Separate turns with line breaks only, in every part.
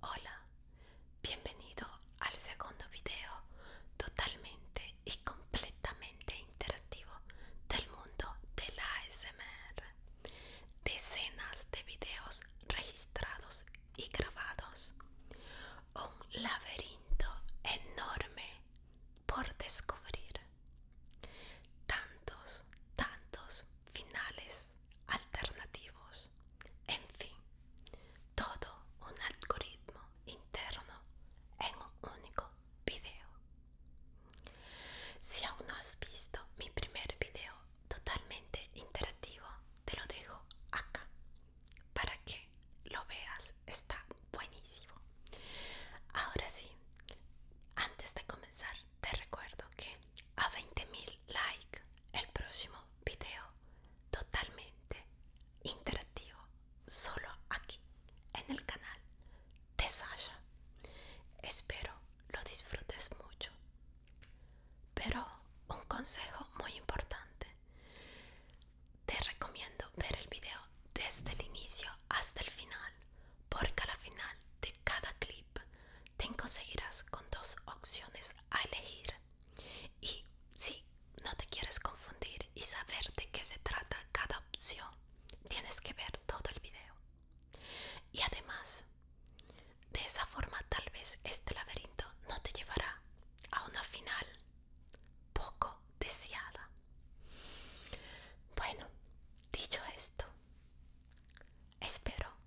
Hola, bienvenido al segundo video totalmente y completamente interactivo del mundo de la ASMR. Decenas de videos registrados y grabados. Un laberinto enorme por descubrir. Tantos, tantos finales alternativos, en fin, todo un algoritmo interno en un único video. Si aún no has visto mi primer video totalmente interactivo, te lo dejo acá para que lo veas, está buenísimo. Ahora sí, antes de comenzar, te recuerdo que a 20.000 like el próximo video totalmente interactivo solo aquí en el canal de Sasha espero lo disfrutes mucho pero un consejo muy importante te recomiendo ver el video desde el inicio hasta el final porque a la final de cada clip te conseguirás con dos opciones a elegir. Y si no te quieres confundir y saber de qué se trata cada opción, tienes que ver todo el video. Y además, de esa forma tal vez este laberinto no te llevará a una final poco deseada. Bueno, dicho esto, espero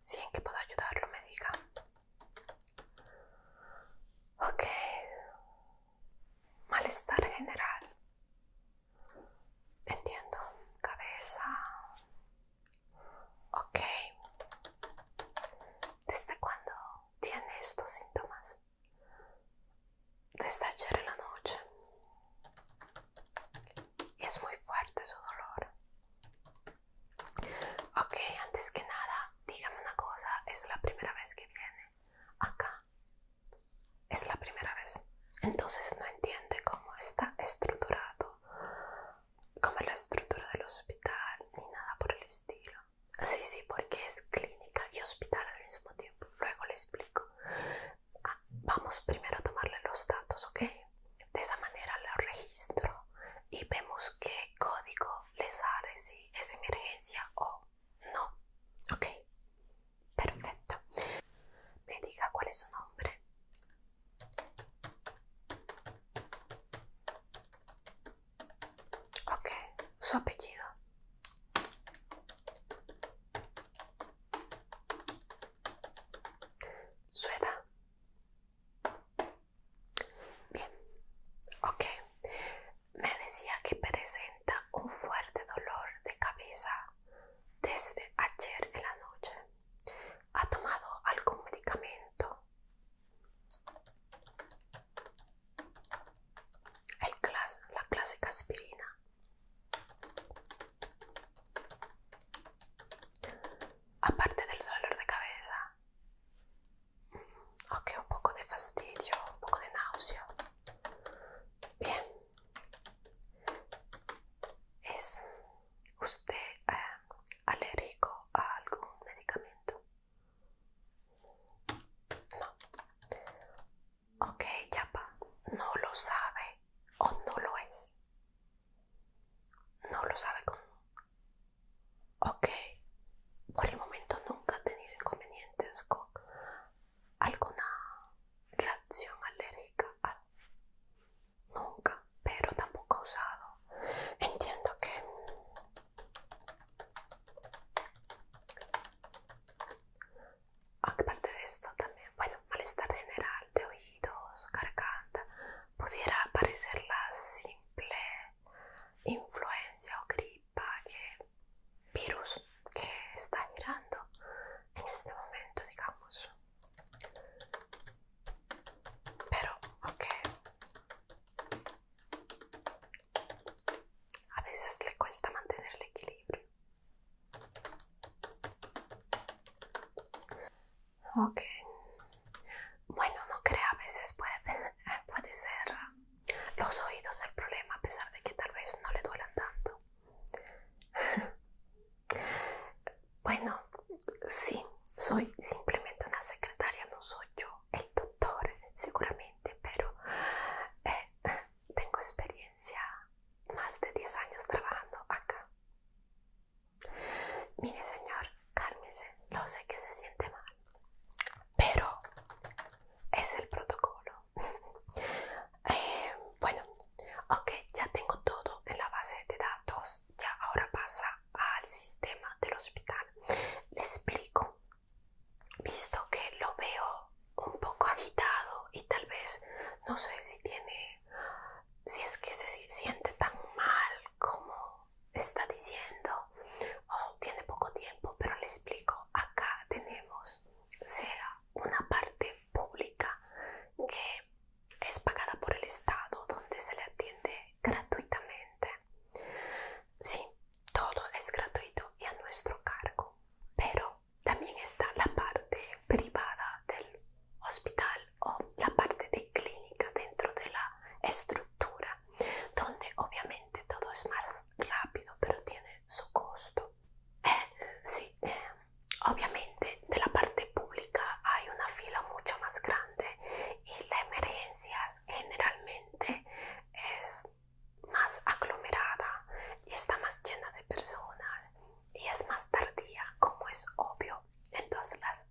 Si en que puedo ayudarlo, me diga. Ok. Malestar general. Entiendo. Cabeza. Ok. ¿Desde cuándo tiene estos síntomas? Desde ayer en la noche. Y Es muy fuerte su dolor. Ok, antes que nada, dígame una cosa, ¿es la primera vez que viene acá? Es la primera vez. Entonces no entiende cómo está estructurado, cómo es la estructura del hospital, ni nada por el estilo. Sí, sí, porque es clínica y hospital al mismo tiempo. Luego le explico. Ah, vamos primero a tomarle los datos, ¿ok? De esa manera lo registro y vemos qué código les sale, si es emergencia o no. Ok, perfecto. Me diga cuál es su nombre. Ok, su apellido. Su edad. Bien, ok. Me decía que presenta un fuerte dolor de cabeza desde ayer en la noche. ¿Ha tomado algún medicamento? la clásica aspirina aparte del dolor de cabeza, mm, ok, un poco de fastidio, un poco de náusea. Bien, ¿es usted eh, alérgico a algún medicamento? No. Ok, ya no lo sabe o no lo es. No lo sabe con... Ok, por el momento nunca ha tenido inconvenientes con alguna reacción alérgica. Nunca, pero tampoco ha usado. Entiendo que... Aparte de esto también, bueno, malestar general de oí cargada pudiera parecer la simple influencia o gripa que virus que está girando en este momento, digamos. Pero, ok. A veces le cuesta mantener el equilibrio. Ok. Bueno, no crea, a veces puede, ser los oídos el problema, a pesar de que tal vez no le duelan tanto. bueno, sí, soy simplemente una secretaria, no soy yo el doctor, seguramente, pero eh, tengo experiencia, más de 10 años trabajando acá. Mire, señor, cálmese. Lo sé que se siente mal, pero es el protocolo. Eh, bueno, ok, ya tengo todo en la base de datos. Ya ahora pasa al sistema del hospital. Le explico. Visto que lo veo un poco agitado y tal vez no sé si tiene, si es que se siente tan mal como está diciendo, oh, tiene poco tiempo, pero le explico, acá tenemos sea una parte pública que es pagada por el Estado, donde se le atiende gratuitamente. Sí, todo es gratuito y a nuestro cargo, pero también está la parte privada del hospital o la parte de clínica dentro de la estructura, donde obviamente todo es más rápido, pero tiene su costo. Eh, sí, eh, obviamente de la parte pública hay una fila mucho más grande y la emergencia generalmente es más aglomerada y está más llena de personas y es más tardía como es obvio entonces las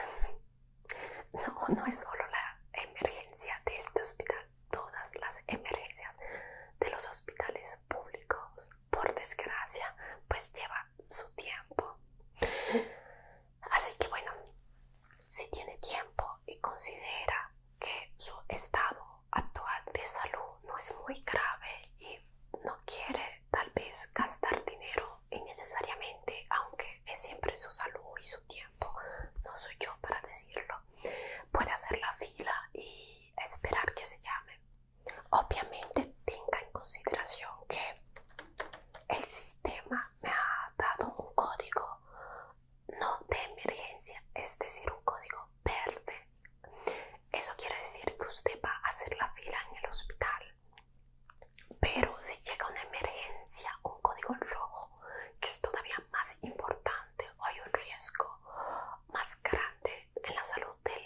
no, no es solo la emergencia de este hospital, todas las emergencias de los hospitales públicos, por desgracia, pues lleva su tiempo. Así que bueno, si tiene tiempo y considera que su estado actual de salud no es muy grave y no quiere tal vez gastar dinero innecesariamente, aunque es siempre su salud y su tiempo, no soy yo para decirlo, puede hacer la fila y esperar que se llame. Obviamente tenga en consideración que el sistema me ha dado un código no de emergencia, es decir, un código verde. Eso quiere decir que usted va a hacer la fila en el hospital pero si llega una emergencia, un código rojo, que es todavía más importante o hay un riesgo más grande en la salud del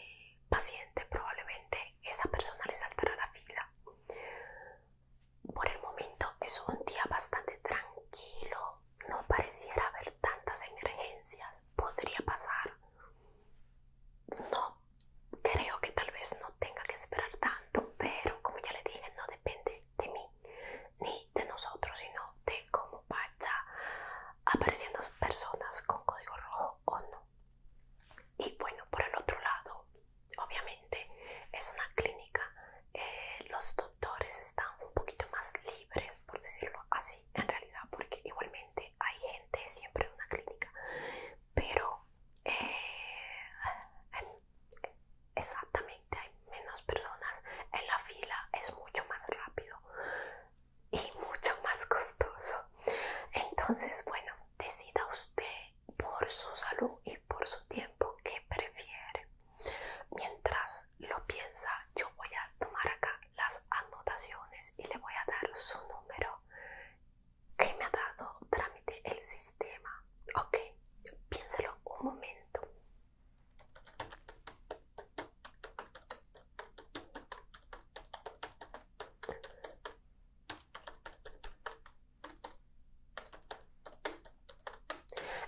paciente, probablemente esa persona le saltará la fila. Por el momento es un día bastante tranquilo, no pareciera haber tantas emergencias, podría pasar. No creo que tal vez no tenga que esperar tanto, pero como ya le dije, no depende de mí ni de nosotros, sino de cómo vaya apareciendo personas con código rojo o no. Y bueno, por el otro lado, obviamente es una clínica, eh, los doctores están un poquito más libres, por decirlo así, en realidad, porque igualmente hay gente siempre en una clínica, pero eh, exactamente hay menos personas en la fila, es mucho más rápido y mucho más costoso. Entonces, bueno, decida usted por su salud y por su tiempo que prefiere. Mientras lo piensa, yo voy a tomar acá las anotaciones y le voy a dar su número que me ha dado trámite el sistema. Ok, piénsalo un momento.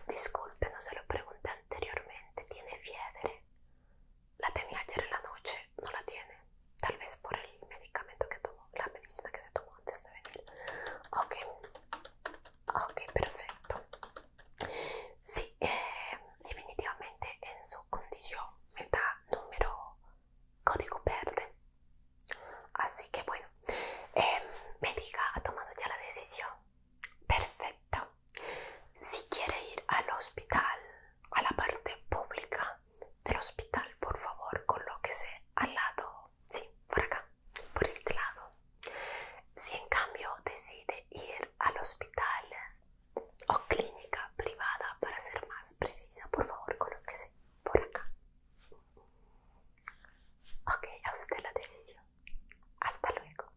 Disculpe, no se lo pregunté anteriormente. ¿Tiene fiebre? La tenía ayer en la noche no la tiene, tal vez por el medicamento que tomó, la medicina que se tomó antes de venir. Ok, ok, perfecto. Sí, eh, definitivamente en su condición me da número código verde. Así que bueno, em, me diga, ha tomado ya la decisión. Perfecto. Si quiere ir al hospital, a la parte pública, del hospital, por favor, colóquese al lado, sí, por acá, por este lado. Si en cambio decide ir al hospital o clínica privada, para ser más precisa, por favor, colóquese por acá. Ok, a usted la decisión. Hasta luego.